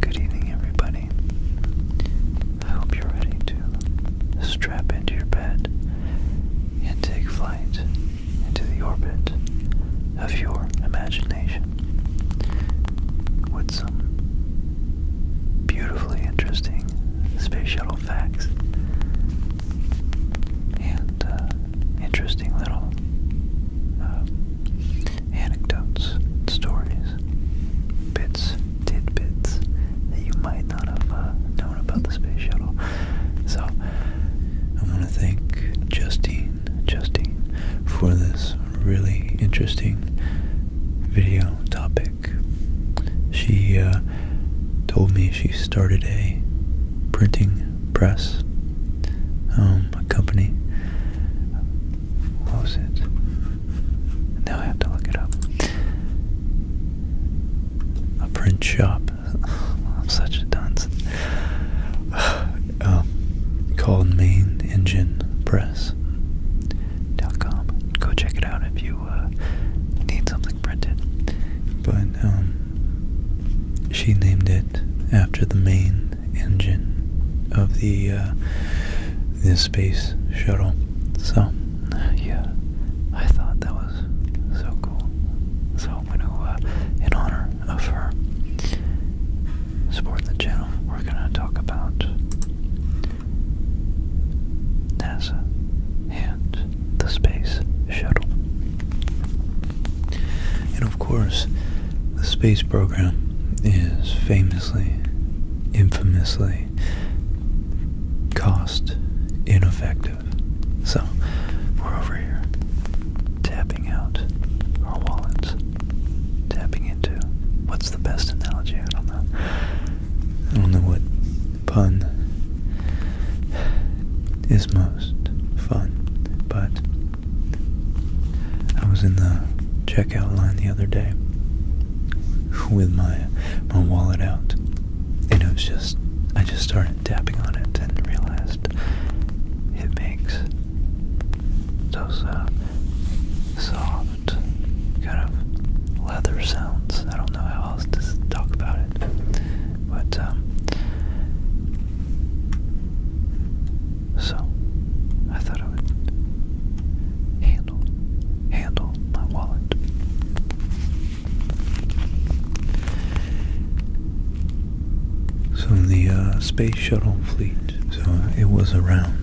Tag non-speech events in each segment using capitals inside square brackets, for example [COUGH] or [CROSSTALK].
Good evening, everybody. I hope you're ready to strap into your bed and take flight into the orbit of your imagination some beautifully interesting space shuttle facts and uh, interesting little uh, anecdotes, stories, bits, tidbits that you might not have uh, known about the space shuttle. So I want to thank Justine, Justine, for this really interesting video topic she uh, told me she started a printing press, um, company. What was it? Now I have to look it up. A print shop. [LAUGHS] I'm such a dunce. [SIGHS] Um, called Main Engine Press. Amazon.com. Go check it out if you uh, need something printed. But um, she named it after the main engine of the uh, the space shuttle. So yeah, I thought that was so cool. So I'm gonna, uh, in honor of her supporting the channel, we're gonna talk about NASA and the Space Shuttle. And of course, the space program is famously, infamously cost ineffective. So, we're over here tapping out our wallets tapping into. What's the best analogy? I don't know. I don't know what pun is most fun, but I was in the checkout line the other day with my my wallet out, and it was just I just started tapping on it and realized it makes those soft kind of leather sounds. I don't know how else to talk about it, but um, so I thought I would handle handle my wallet. So the uh, space shuttle fleet. So it was around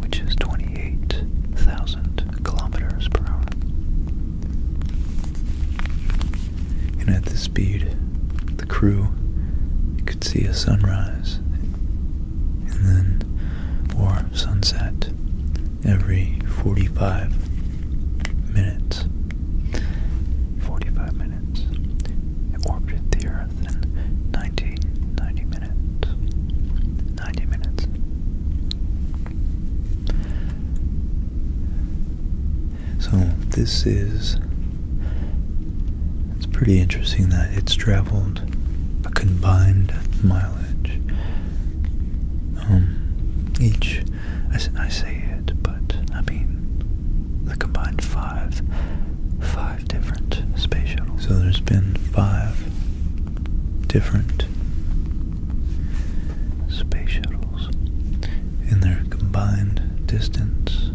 which is 28,000 kilometers per hour. And at this speed, the crew could see a sunrise and then, or sunset, every 45 minutes. 45 minutes. It the Earth in 1990 minutes. 90 minutes. So this is it's pretty interesting that it's traveled a combined mileage. Um, each, I, I say it, but I mean the combined five, five so there's been five different space shuttles, and their combined distance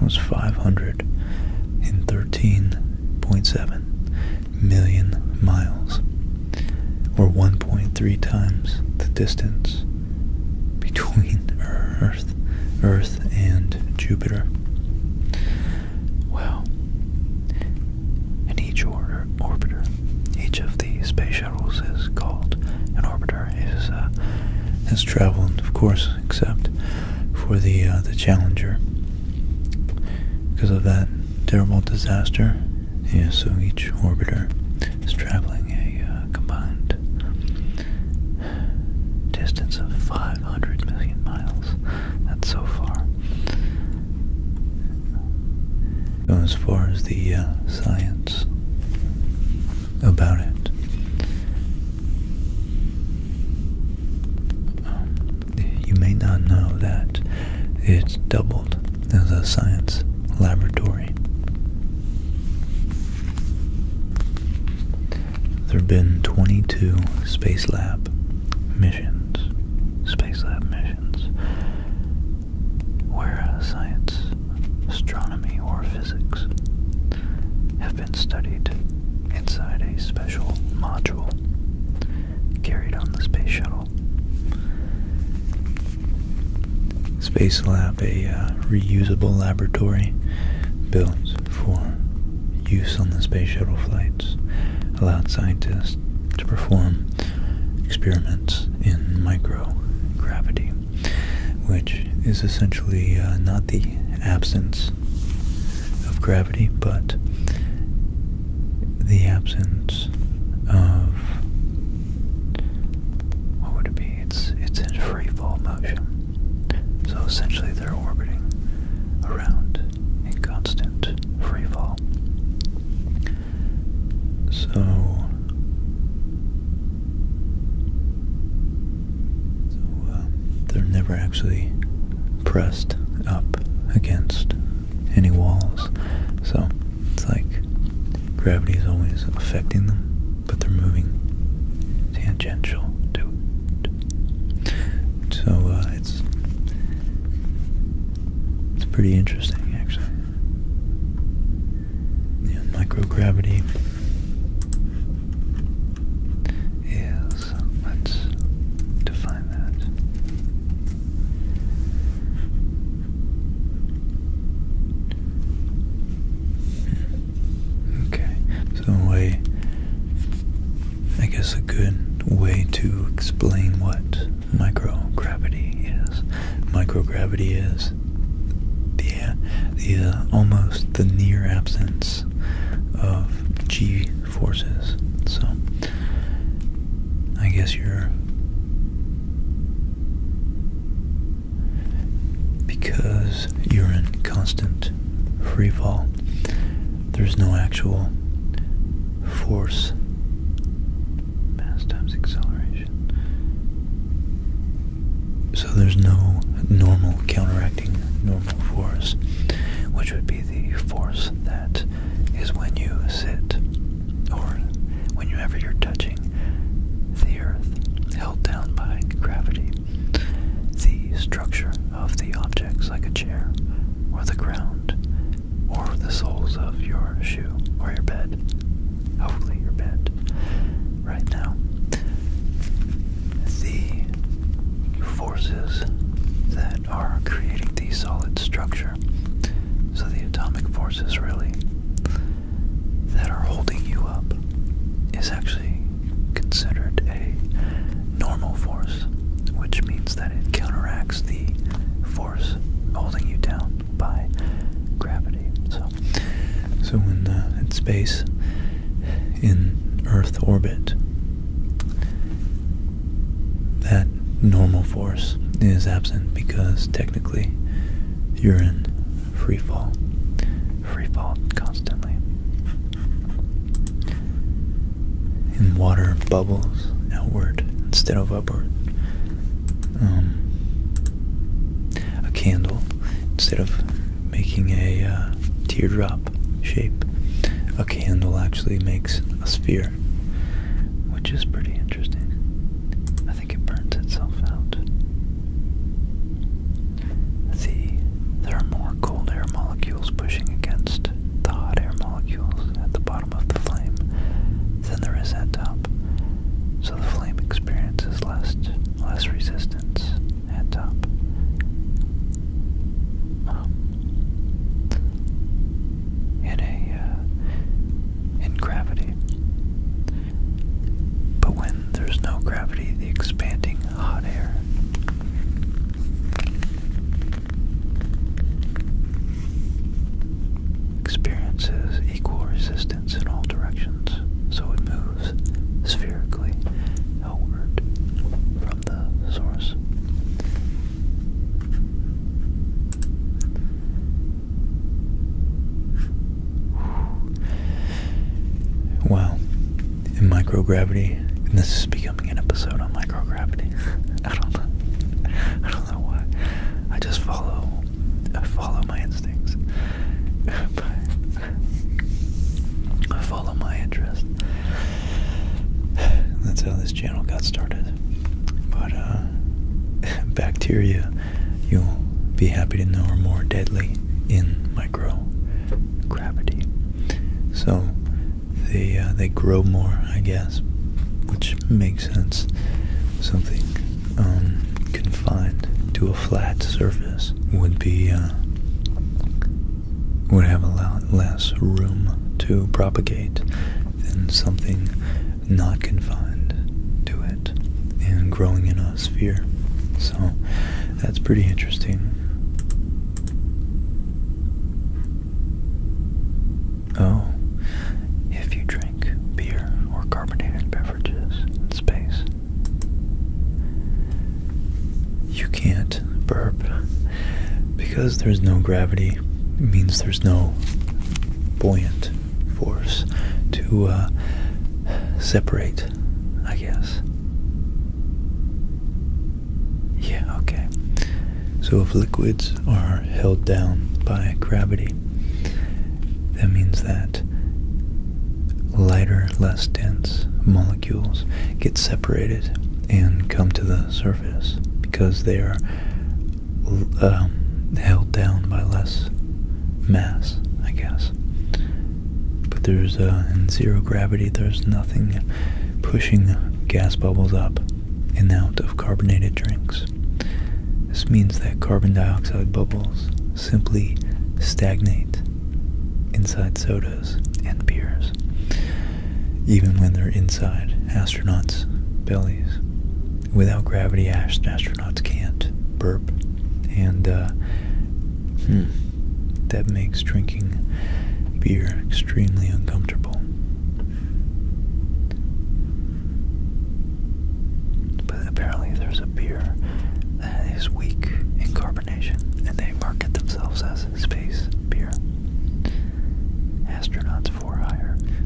was 513.7 million miles, or 1.3 times the distance between [LAUGHS] Earth Earth, and Jupiter. Well, in each order, orbiter, each of the space shuttles is called an orbiter. Is uh, has of course, except for the uh, the Challenger, because of that terrible disaster. Yeah, so each orbiter is traveling a uh, combined Distance of 500 million miles. That's so far. As far as the uh, science about it, you may not know that it's doubled as a science laboratory. There have been 22 Space Lab missions, Space Lab missions, where uh, science, astronomy, or physics have been studied inside a special module carried on the space shuttle. Space Lab a uh, reusable laboratory built for use on the space shuttle flights, allowed scientists to perform experiments in microgravity, which is essentially uh, not the absence of gravity, but the absence of what would it be? It's it's in free fall motion. So essentially, they're orbiting around in constant free fall. So, they're never actually pressed up against any walls. So it's like gravity is always affecting them but they're moving tangential to it. So uh, it's it's pretty interesting, actually. Yeah, microgravity is let's define that. Hmm. Okay, so in way, I guess a good way to explain what microgravity is. Microgravity is the the uh, almost the near absence of g forces. So I guess you're because you're in constant free fall. There's no actual force. Mass times acceleration. So there's no normal counteracting normal force, which would be the force that is when you sit or whenever you're touching the earth held down by gravity. The structure of the objects, like a chair, or the ground, or the soles of your shoe, or your bed. Hopefully, your bed. Right now, the forces that are creating the solid structure. So the atomic forces, really, that are holding you up is actually considered a normal force, which means that it counteracts the force holding you down by gravity. So, so in, uh, in space, in Earth orbit, that normal force is absent because technically you're in free fall, free fall constantly. In water bubbles outward instead of upward. Um, a candle, instead of making a uh, teardrop shape, a candle actually makes a sphere, which is pretty interesting think it burns itself out. The, there are more cold air molecules pushing against the hot air molecules at the bottom of the flame than there is at top, so the flame experiences less, less resistance at top. Um, in a uh, in gravity, but when there's no gravity, the expanding hot air experiences equal resistance in all directions, so it moves spherically outward from the source. Wow. In microgravity, this is becoming an episode on microgravity. [LAUGHS] I don't know. I don't know why. I just follow. I follow my instincts. [LAUGHS] I follow my interest. That's how this channel got started. But uh, [LAUGHS] bacteria you'll be happy to know are more deadly in microgravity. So they uh, they grow more, I guess, which makes sense. Something um, confined to a flat surface would be uh, would have a lot less room to propagate than something not confined to it and growing in a sphere. So that's pretty interesting. Oh, if you drink beer or carbonated beverages in space, you can't burp because there's no gravity. It means there's no buoyant force to uh, separate, I guess. Yeah, okay. So if liquids are held down by gravity, that means that lighter, less dense molecules get separated and come to the surface because they are um, held down by less mass, I guess. But there's uh, in zero gravity, there's nothing pushing gas bubbles up and out of carbonated drinks. This means that carbon dioxide bubbles simply stagnate inside sodas and beers, even when they're inside astronauts' bellies without gravity, ast astronauts can't burp, and uh, hmm, that makes drinking beer extremely uncomfortable. But apparently, there's a beer that is weak in carbonation, and they market themselves as space beer. Astronauts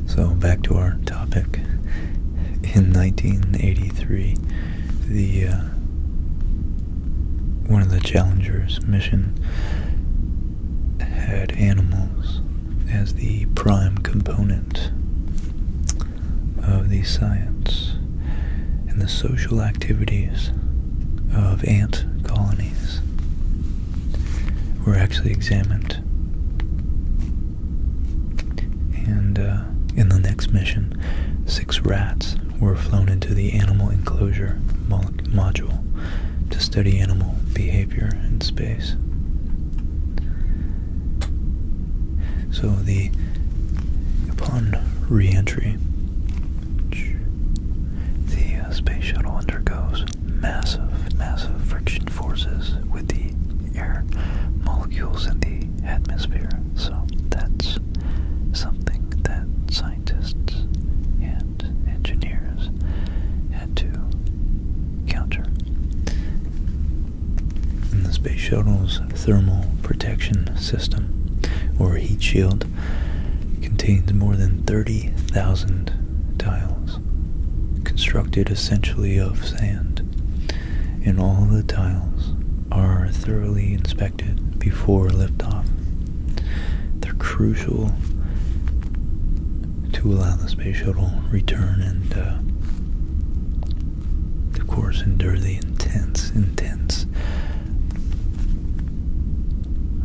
so, back to our topic. In 1983, the uh, one of the Challenger's mission had animals as the prime component of the science and the social activities of ant colonies were actually examined and uh, in the next mission, six rats were flown into the animal enclosure module to study animal behavior in space. So the upon re-entry, the uh, space shuttle undergoes massive, massive friction forces with the air molecules in the atmosphere. So that's something that scientists and engineers had to counter. In the space shuttle's thermal protection system, or heat shield, contains more than 30,000 tiles constructed essentially of sand, and all the tiles are thoroughly inspected before liftoff. They're crucial to allow the space shuttle return and, uh, of course, endure the intense, intense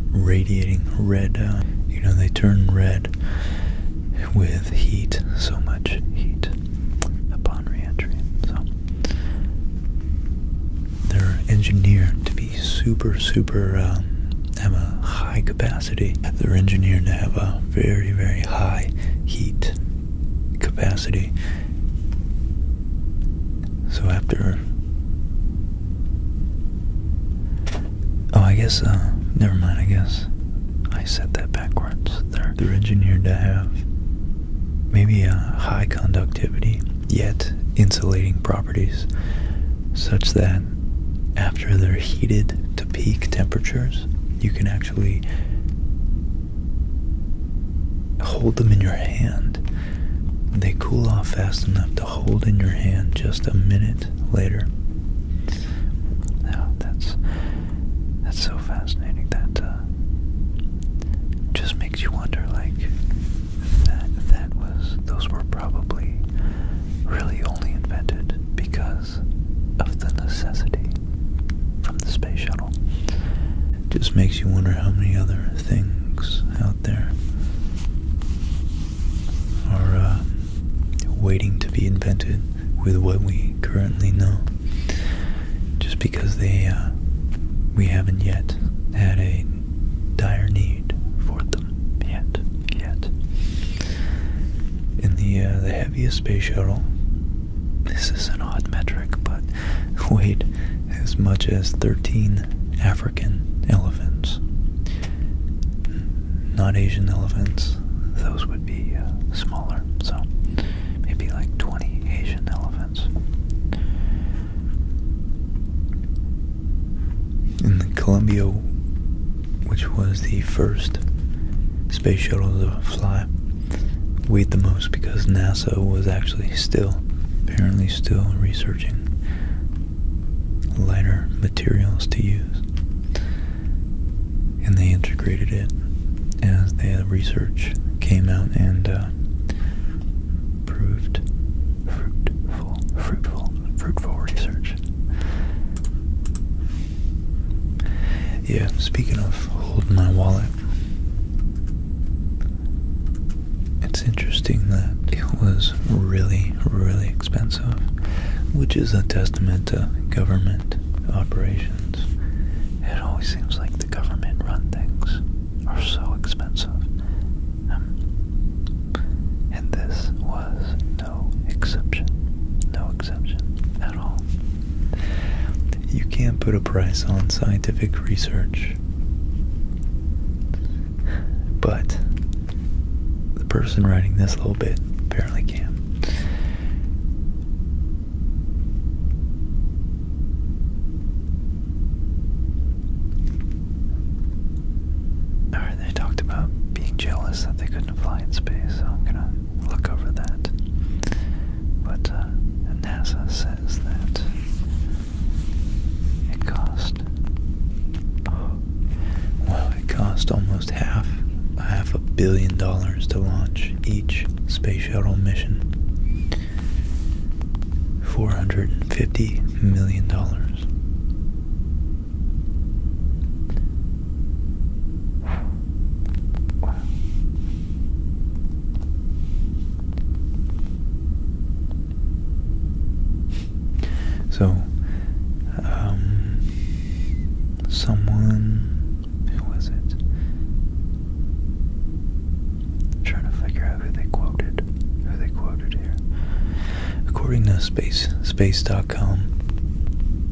radiating red. Uh, you know, they turn red with heat, so much heat upon reentry. So they're engineered to be super, super, um, have a high capacity. They're engineered to have a very, very high heat capacity. So after Oh, I guess, uh, never mind, I guess. I said that backwards. They're, they're engineered to have maybe a uh, high conductivity, yet insulating properties, such that after they're heated to peak temperatures, you can actually hold them in your hand. They cool off fast enough to hold in your hand just a minute later. Now that's that's so fascinating. That uh, just makes you wonder, like that that was those were probably really only invented because of the necessity from the space shuttle. just makes you wonder how many other things out there are uh, waiting to be invented with what we currently know, just because they uh, we haven't yet had a dire need for them yet, yet. In the uh, the heaviest space shuttle, this is an odd metric, but [LAUGHS] weighed as much as thirteen African elephants not Asian elephants. Those would be uh, smaller, so maybe like 20 Asian elephants. In the Columbia, which was the first space shuttle to fly, weighed the most because NASA was actually still, apparently still researching lighter materials to use. And they integrated it as the research came out and uh, proved fruitful, fruitful, fruitful research. Yeah, speaking of holding my wallet, it's interesting that it was really, really expensive hands which is a testament to government operations. It always seems like the government run things are so expensive. Um, and this was no exception. No exception at all. You can't put a price on scientific research. But the person writing this little bit apparently can. Alright, they talked about being jealous that they couldn't fly in space, I'm gonna look over that. But uh, NASA says that it cost well, it cost almost half a half a billion dollars to launch each space shuttle mission. Four hundred and fifty million dollars. So, um, someone, who was it? trying to figure out who they quoted. Who they quoted here? According to Space Space.com,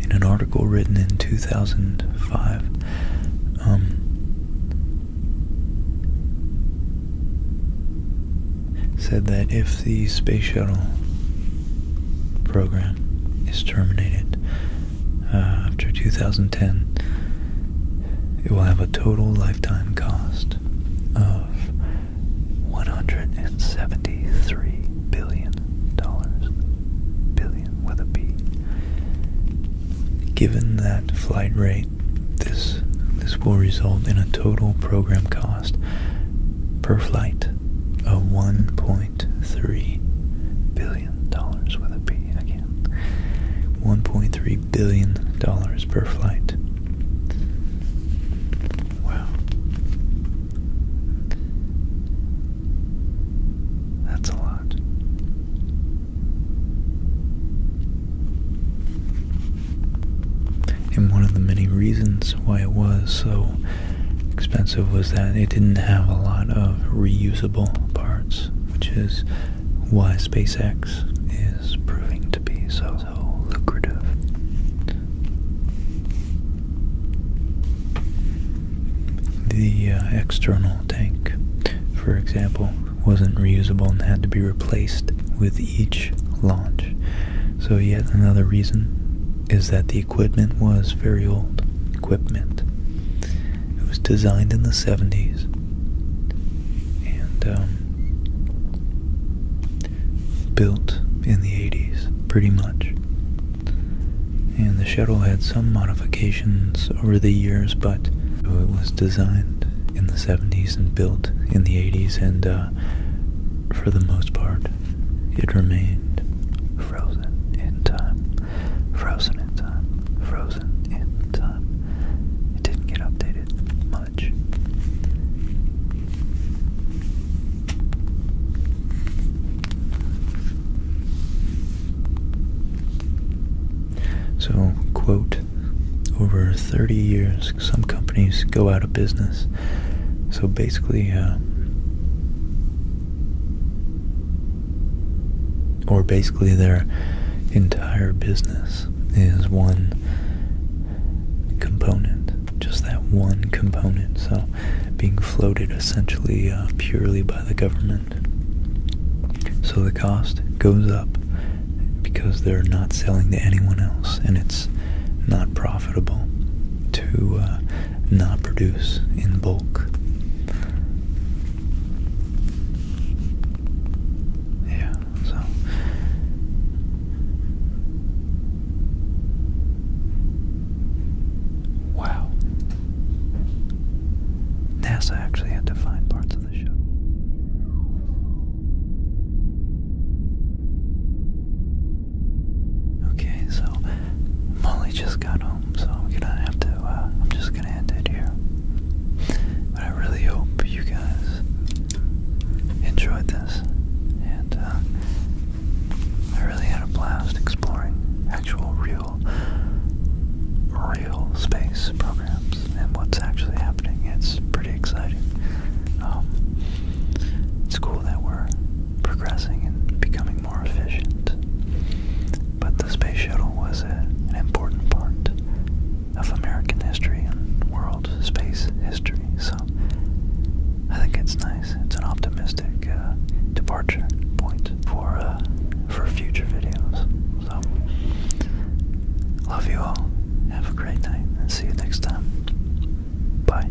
in an article written in 2005, um, said that if the space shuttle program is terminated uh, after 2010, it will have a total lifetime cost of $173 billion, billion with a B. Given that flight rate, this, this will result in a total program cost per flight of $1.3 billion with a B again. $1.3 billion per flight. Wow. That's a lot. And one of the many reasons why it was so expensive was that it didn't have a lot of reusable parts, which is why SpaceX is proving to be so, lucrative. The uh, external tank, for example, wasn't reusable and had to be replaced with each launch, so, yet another reason is that the equipment was very old. Equipment. It was designed in the 70s. And, um, built in the 80s, pretty much. And the shuttle had some modifications over the years, but it was designed in the 70s and built in the 80s, and uh, for the most part, it remained frozen in time, frozen in time, frozen in time. It didn't get updated much. So, quote, over 30 years, some companies go out of business. So basically, uh, or basically, their entire business is one component, just that one component. So being floated essentially uh, purely by the government. So the cost goes up because they're not selling to anyone else and it's not profitable to uh, not produce in bulk. Yeah, so. Wow. NASA actually had to find parts of the shuttle. Okay, so Molly just got home, so I'm gonna have to, uh, I'm just gonna end it here. But I really hope you guys enjoyed this, and uh, I really had a blast exploring actual real, real space programs and what's actually happening. It's pretty exciting. Um, it's cool that we're progressing and becoming more efficient. But the space shuttle was an important part of American history and world space history. So I think it's nice. It's an optimistic uh, departure point for uh, for future videos love you all. Have a great night and see you next time. Bye.